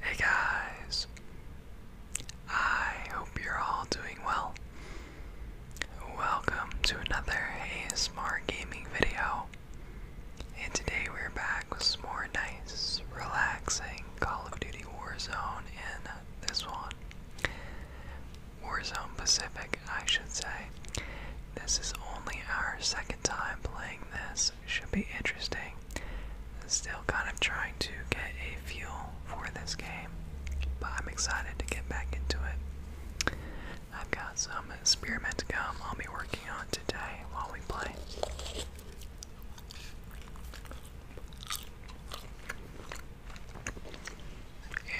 Hey guys! I hope you're all doing well. Welcome to another ASMR gaming video. And today we're back with some more nice, relaxing Call of Duty Warzone in this one. Warzone Pacific, I should say. This is only our second time playing this, should be interesting. Still kind of trying to get a feel for this game, but I'm excited to get back into it. I've got some spearmint gum I'll be working on today while we play.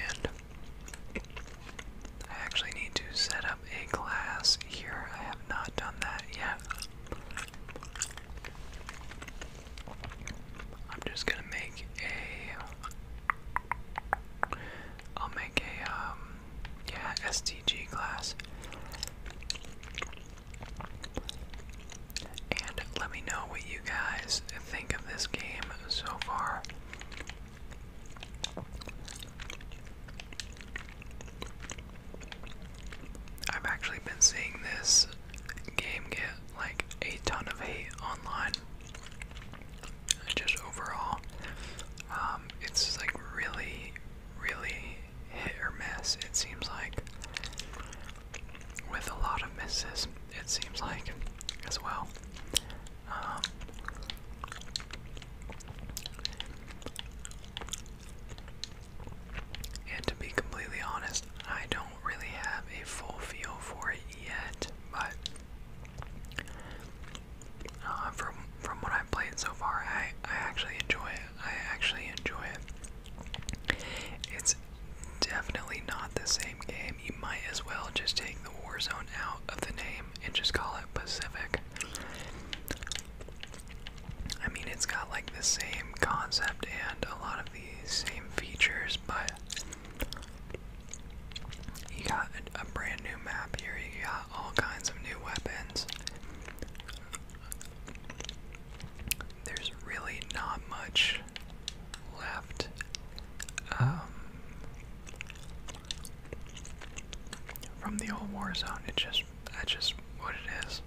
And I actually need to set up a glass here. I have not done that yet. I'm just gonna make a. I'll make a um yeah STG class. And let me know what you guys think of this game so far. I've actually been seeing this game get like a ton of hate online. Just overall, um, it's like really, really hit or miss. It seems like with a lot of misses. It seems like as well. Um, and to be completely honest, I don't really have a full feel for it yet, but uh, from from what I've played so far, I I actually enjoy it. I actually enjoy it. It's definitely not the same game. You might as well just take the Warzone out of the name and just call it Pacific. I mean, it's got like the same concept and a lot of the same features, but you got a, brand new map here, you got all kinds of new weapons. There's really not much left. Um, from the old Warzone, it just that's just what it is.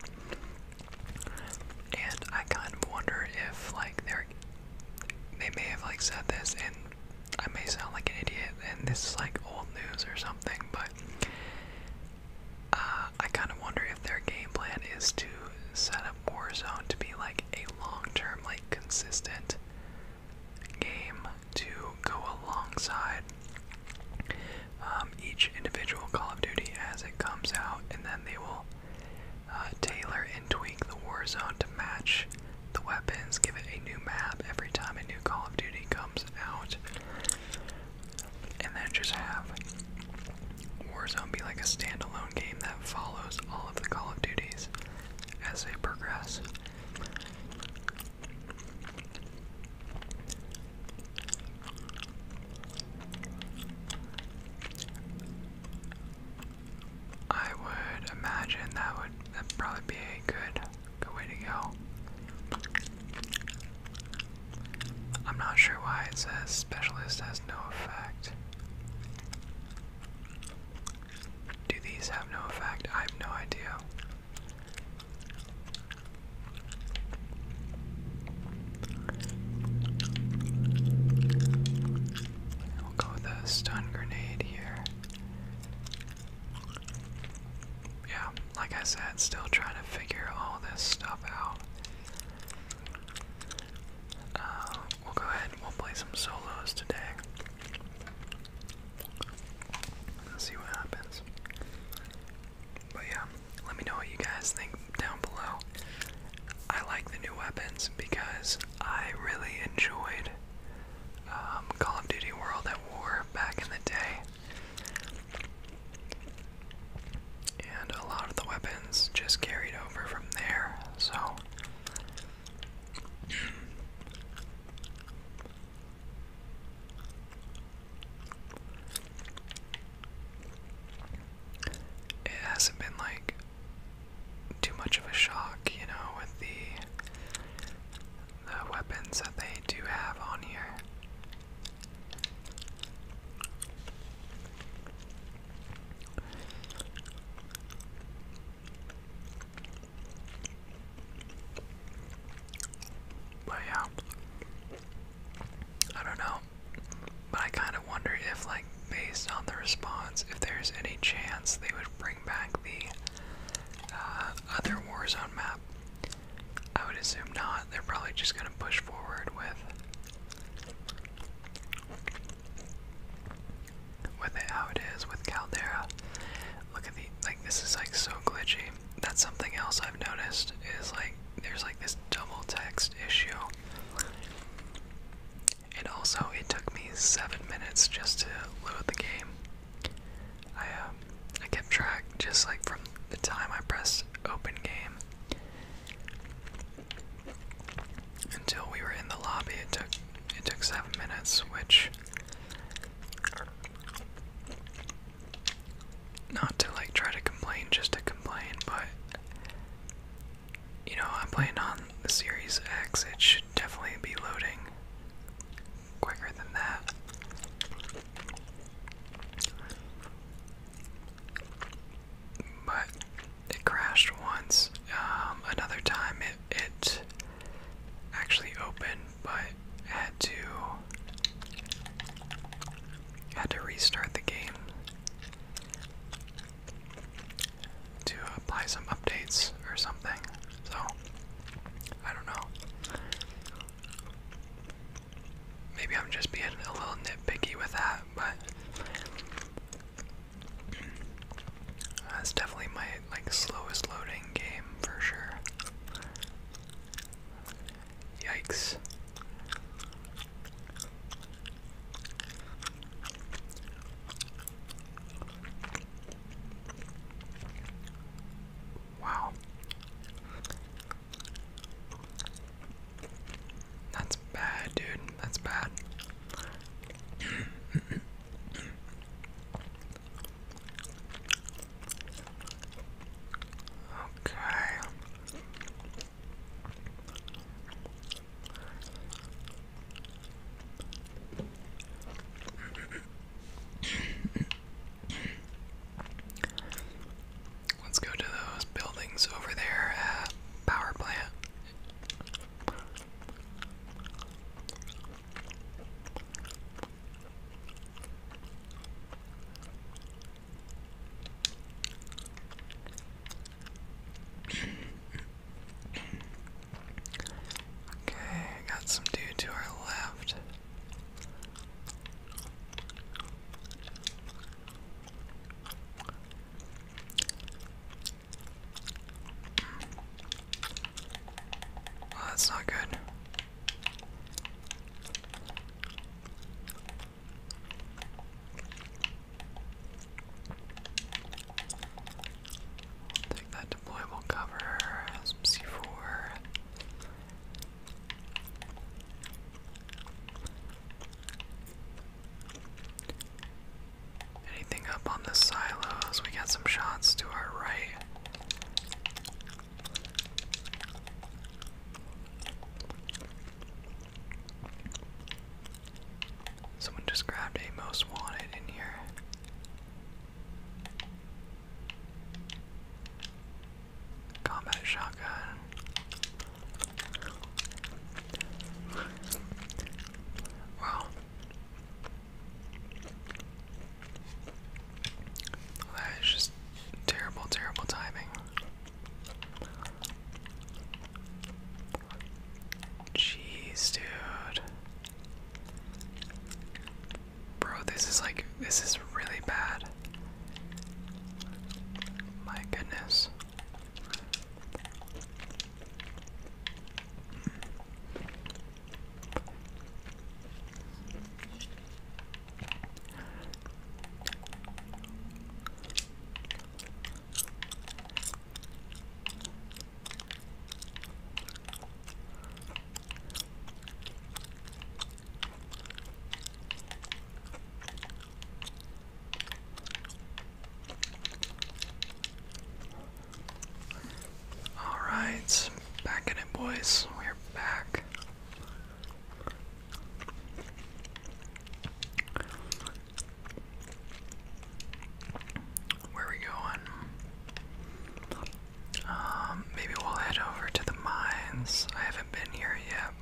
And I kind of wonder if like they're they may have like said this and I may sound like an idiot and this is like old news or something, but uh, I kind of wonder if their game plan is to set up Warzone to be like a long-term, like consistent game to go alongside um, each individual Call of Duty as it comes out, and then they will uh, tailor and tweak the war zone to match the weapons, give it a new map every time a new Call of Duty comes out, and then just have Warzone be like a standalone game that follows all of the Call of Duties as they progress. I would imagine that would that probably be a good good way to go. I'm not sure why it says specialist has no effect. Do these have no effect? I have no idea. We'll go with a stun grenade here. Yeah, like I said, still trying to figure all this stuff out. Uh, we'll go ahead and we'll play some solos today. Let's see what happens. But yeah, let me know what you guys think down below. I like the new weapons because I really enjoyed um, Call of Duty World at War back in the day. And a lot of the weapons just carried over from there, so it hasn't been like too much of a shock, you know, with the the weapons that they do have on here. But yeah, I don't know. But I kind of wonder if, like, based on the response, if there's any chance they would bring back the uh, other Warzone map. I would assume not. They're probably just going to push forward with with how it is with Caldera. Look at the like. This is like so glitchy that's something else I've noticed is like there's like this double text issue. And also, it took me seven minutes just to load the game. I um, I kept track just like from the time I pressed open game until we were in the lobby. It took it took seven minutes, which not to like try to complain just to complain, but you know, I'm playing on the Series X, it should definitely be loading quicker than that. But it crashed once. Um, another time it it actually opened, but had to had to restart the game to apply some updates or something. So I don't know. Maybe I'm just being a little nitpicky with that, but that's definitely my like slowest loading game for sure. Yikes. Wow. That's bad, dude. That's bad. Okay. Let's go to those buildings over there at Power Plant. Okay, got some dude to our left. Well, that's not good that deployable cover, some C4. Anything up on the silos? We got some shots to our right. Someone just grabbed a most wanted in here. Combat shotgun. Wow. That is just terrible, terrible timing. Jeez, dude. Bro, this is like, this is really bad. My goodness. All right, back at it, boys. We're back. Where are we going? Um, maybe we'll head over to the mines. I haven't been here yet.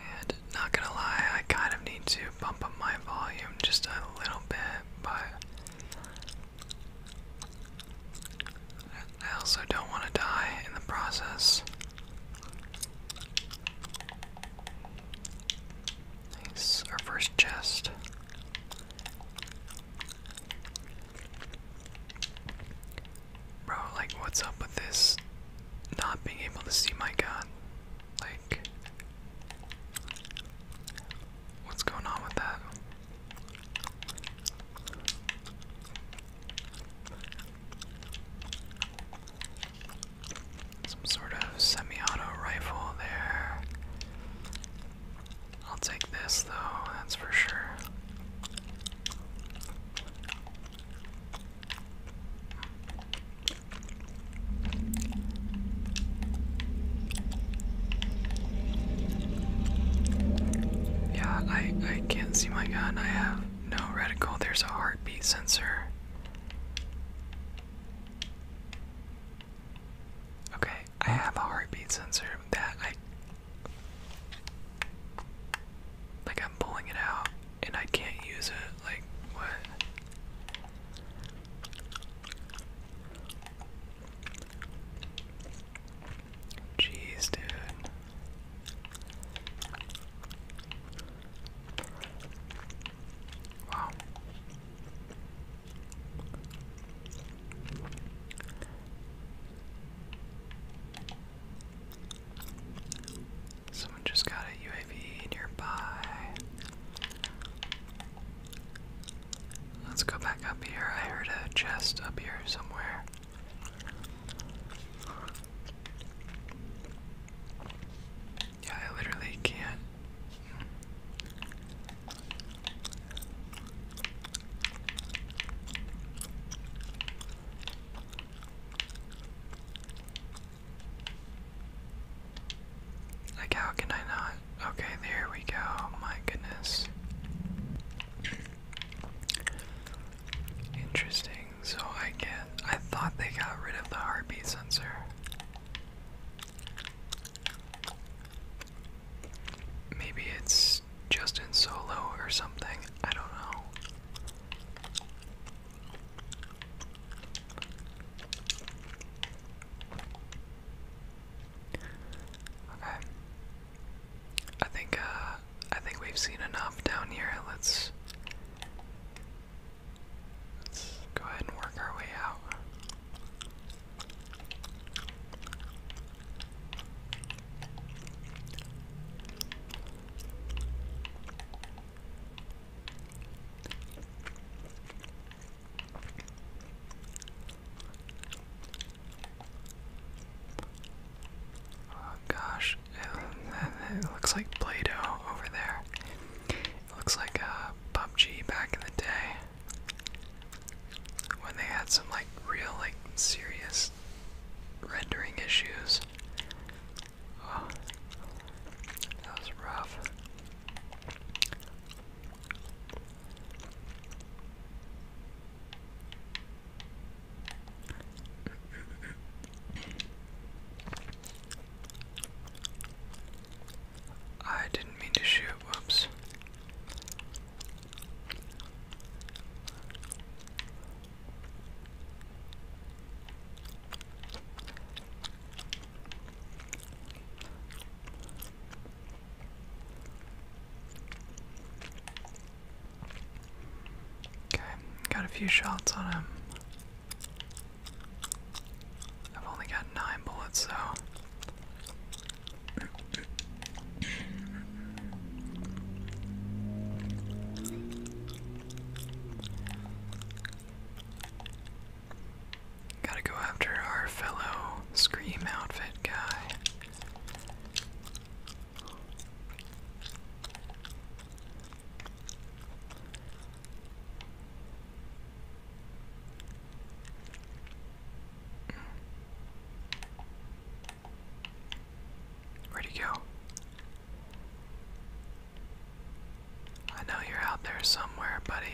And not gonna lie, I kind of need to bump up my volume just a little bit, but I also don't want to die in the process. Nice. Our first chest. Bro, like, what's up with this? Not being able to see my gun. Like, what's going on with that? Some sort of semi-auto rifle there. I'll take this though, that's for sure. Yeah, I I can't see my gun. I have no reticle, there's a heartbeat sensor. Okay, I have a heartbeat sensor that I. Like, I'm pulling it out and I can't use it. Like, what? Jeez, dude. Wow. Someone just got a UAV nearby. Let's go back up here. I heard a chest up here somewhere. Yeah, I literally can't. Like, how can I not? Okay, there we go. My goodness. Interesting. So I get I thought they got rid of the heartbeat sensor. Maybe it's just in solo or something. I don't know. Okay. I think uh, I think we've seen enough down here. Let's let's go ahead and work our way out. Oh gosh, it looks like Play-Doh over there. It looks like uh, PUBG back in the day when they had some like real like serious rendering issues. Oh, that was rough. I didn't mean to shoot, whoops. Okay, got a few shots on him. I've only got nine bullets, though. Gotta go after our fellow Scream Outfit guy. Where'd he go? I know you're out there somewhere, buddy.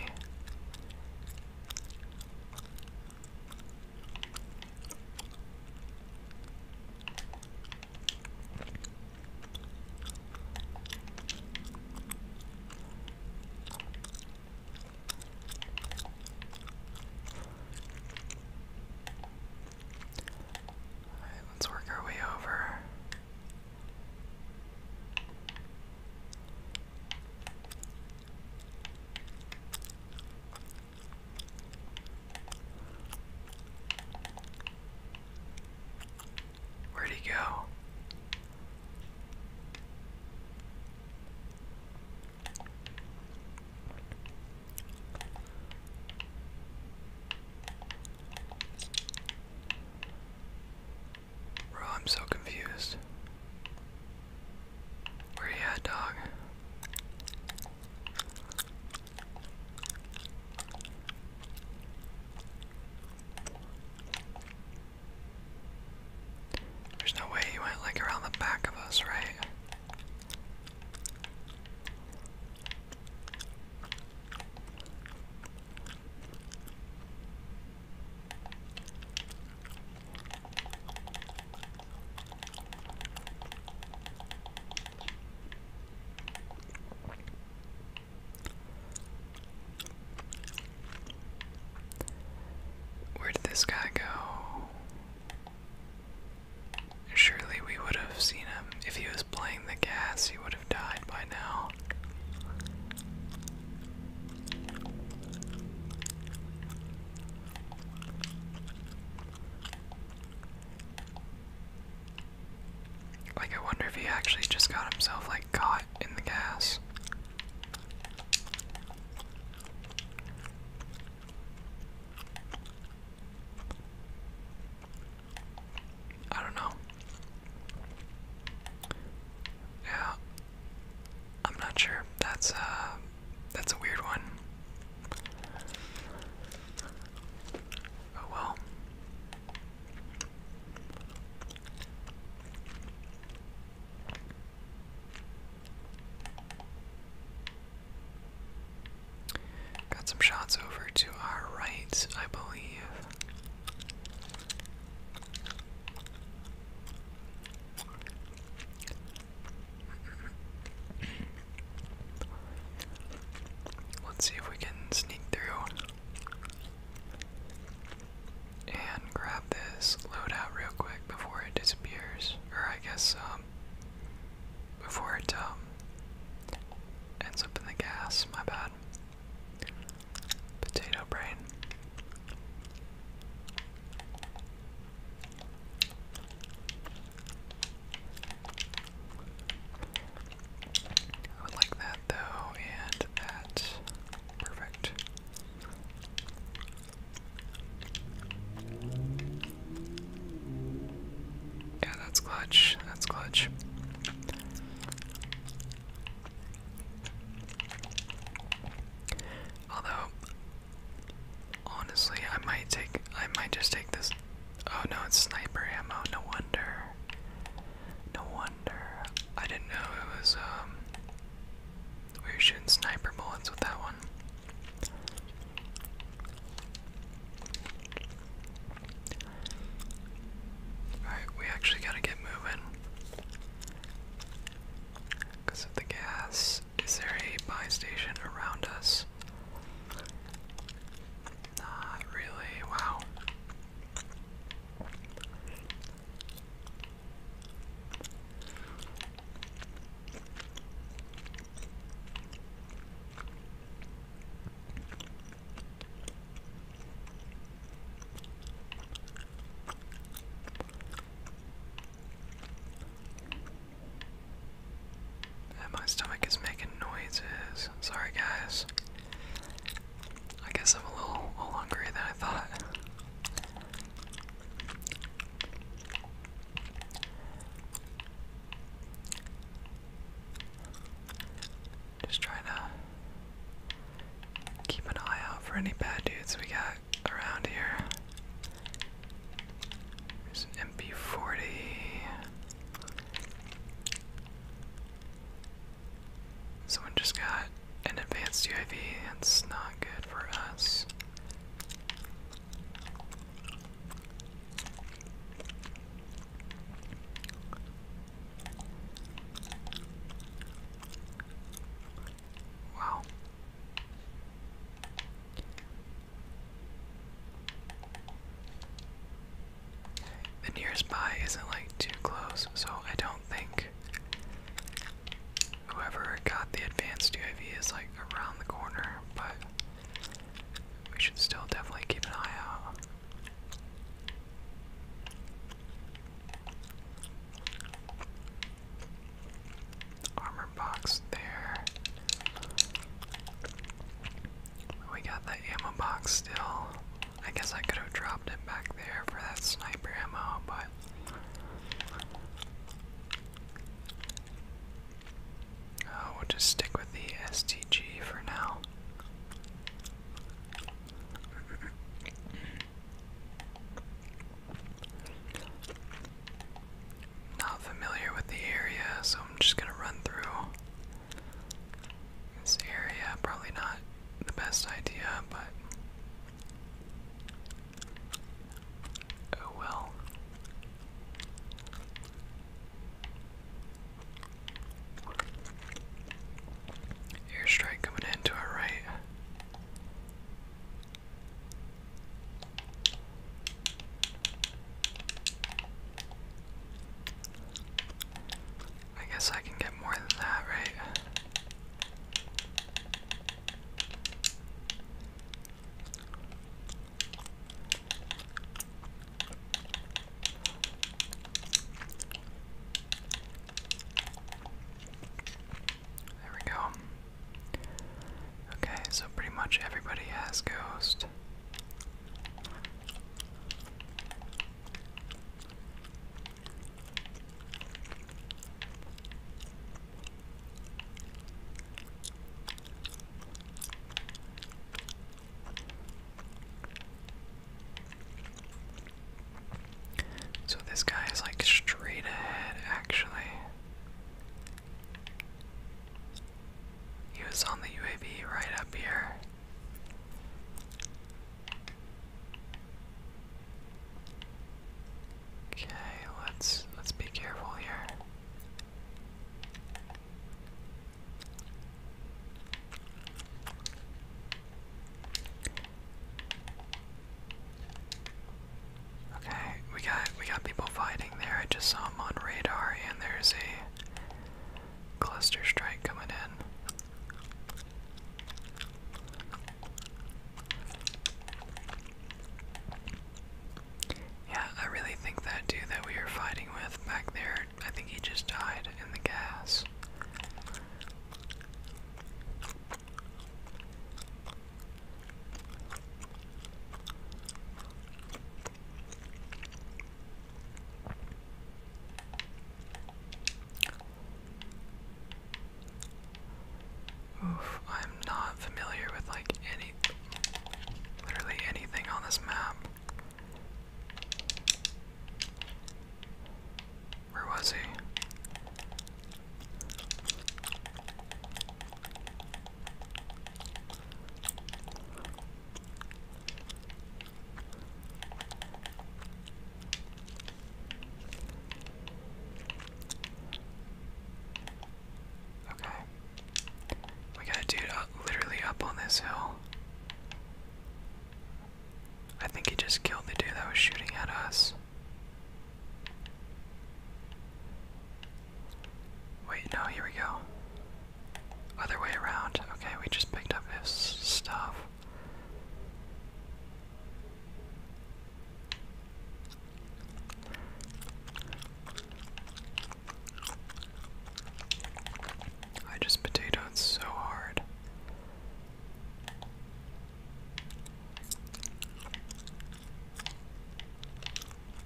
Alright, let's work our way over. Where'd he go? Bro, I'm so confused. Where you at, dog? There's no way he went like around the back of us, right? Where did this guy go? Surely we would have seen him. If he was playing the gas, he would have died by now. Like, I wonder if he actually just got himself, like, caught in the gas. I don't know. Yeah. I'm not sure. That's, uh, that's a weird one. Oh well. Got some shots over to our right, I believe. Let's see if we can sneak through and grab this loadout real quick before it disappears, or I guess um, before it um, ends up in the gas. My bad. Potato brain. I would like that though, and that. Perfect. Yeah, that's clutch. That's clutch. Although honestly I might take I might just take this Oh no, it's sniper ammo. No wonder. No wonder. I didn't know it was, um. We were shooting sniper bullets with that one. Alright, we actually gotta get moving. Because of the gas. Is there a buy station around us? guess. Not really, wow. And my stomach is making noises. Sorry, guys. I guess I'm a little, a hungrier than I thought. Just trying to keep an eye out for any bad dudes we got around here. MP40. Someone just got an advanced UAV. That's not good for us. Wow. The nearest by isn't like too close, so I don't think whoever got the advanced UAV is like around the corner, but we should still definitely keep an eye out. Armor box there. We got the ammo box still. I guess I could have dropped it back there for that sniper ammo, but. Oh, we'll just stick with the STG for now not familiar with the area, so I'm just gonna run through this area. Probably not the best idea, but oh well. Airstrike coming in to our right. I guess I can get more than that, right? There we go. Okay, so pretty much everybody has Ghost. So this guy is like straight ahead, actually. He was on the UAV right up here. Okay, let's let's be careful here. Okay, we got we got people fighting there. I just saw them on radar and there's a Cluster strike coming in. Yeah, I really think that dude that we were fighting with back there, I think he just died in the gas. Oof, I'm not familiar with like any literally anything on this map. Where was he? Okay. We got a dude literally up on this hill. I think he just killed the dude that was shooting at us. Wait, no, here we go. Other way around. Okay, we just picked up his stuff. I just potatoed so hard.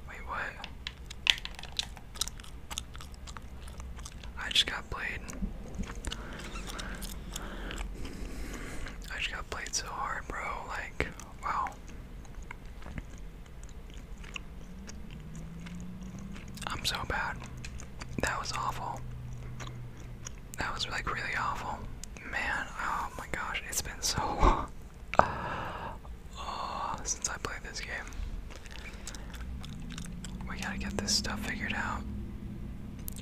Wait, what? I just got played. I just got played so hard, bro. Like, wow. I'm so bad. That was awful. That was like really awful. Man, oh my gosh, it's been so long. Uh, since I played this game. We gotta get this stuff figured out.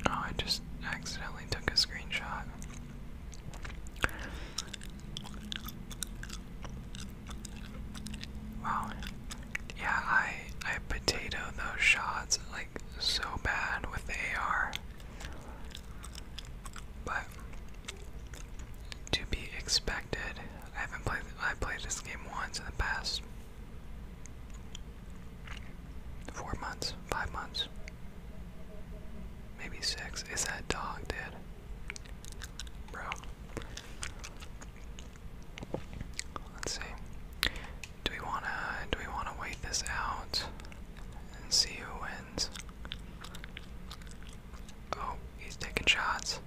Oh, I just accidentally took a screenshot. Wow. Yeah, I I potato those shots like so bad with AR. But to be expected. I haven't played. I played this game once in the past four months, five months, maybe six. Is that dog dead, bro? Let's see. Do we wanna? Do we wanna wait this out and see who wins? Oh, he's taking shots.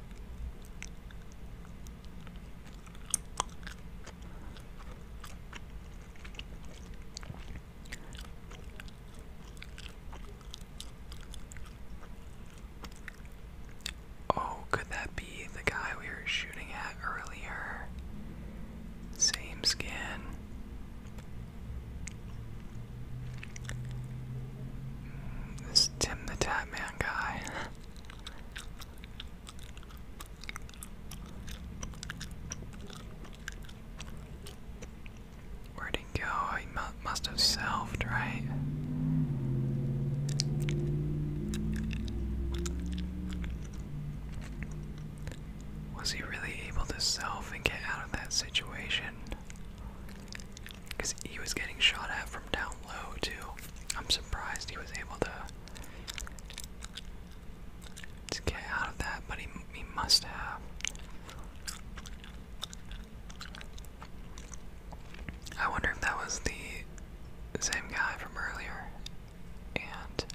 Oh, could that be the guy we were shooting at earlier? Same skin. This Tim the Tatman guy. Where'd he go? He must have selfed, right? Was he really able to self and get out of that situation? Because he was getting shot at from down low, too. I'm surprised he was able to, get out of that, but he, he must have. I wonder if that was the same guy from earlier. And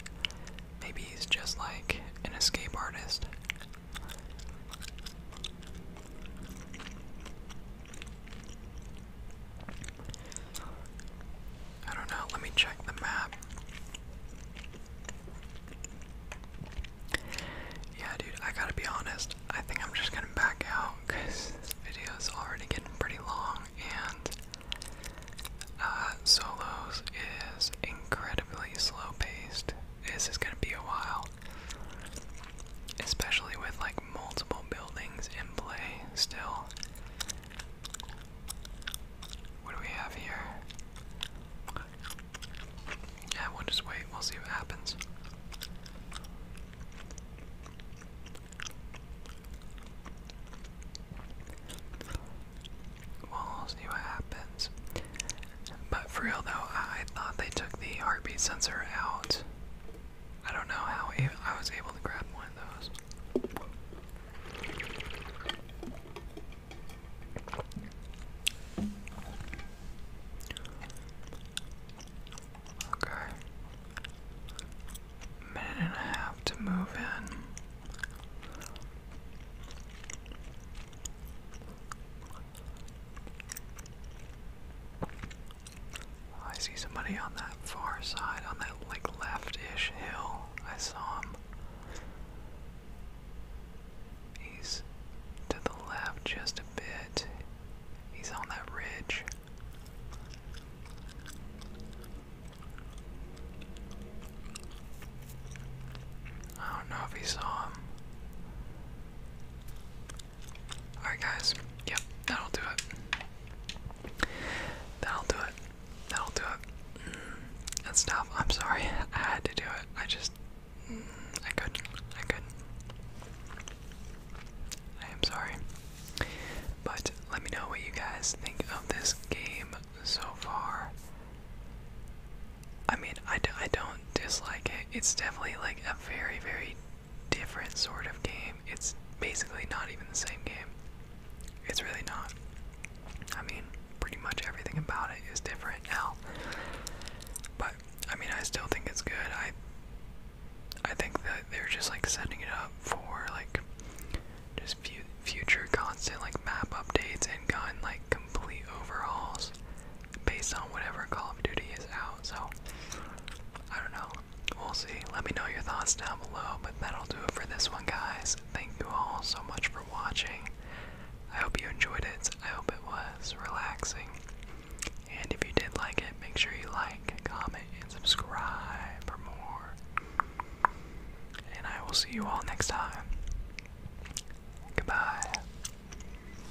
maybe he's just like an escape artist. I don't know, let me check the map. Yeah, dude, I gotta be honest. I think I'm just gonna back out because this video is already getting pretty long and uh, solos is incredibly slow paced. This is gonna be a while. Especially with like multiple buildings in play still. What do we have here? Yeah, we'll just wait. We'll see what happens. We'll see what happens. But for real though, I, thought they took the heartbeat sensor out. I don't know how I was able to grab one of those. Okay. Minute and a half to move in. Oh, I see somebody on that far side, on that like left-ish hill. I saw him. He's to the left just a bit. He's on that ridge. I don't know if he saw him. Alright, guys. Yep, that'll do it. That'll do it. That'll do it. Mm, that's tough. I'm sorry. I had to do it. I just. Mm, I could I could I am sorry. But let me know what you guys think of this game so far. I mean, I d I don't dislike it. It's definitely like a very, very different sort of game. It's basically not even the same game. It's really not. I mean, pretty much everything about it is different now. But I mean, I still think it's good. I I think that they're just like setting it up for like just future constant like map updates and gun like complete overhauls based on whatever Call of Duty is out. So I don't know. We'll see. Let me know your thoughts down below. But that'll do it for this one, guys. Thank you all so much for watching. I hope you enjoyed it. I hope it was relaxing. And if you did like it, make sure you like, comment, and subscribe for more. And I will see you all next time. Goodbye.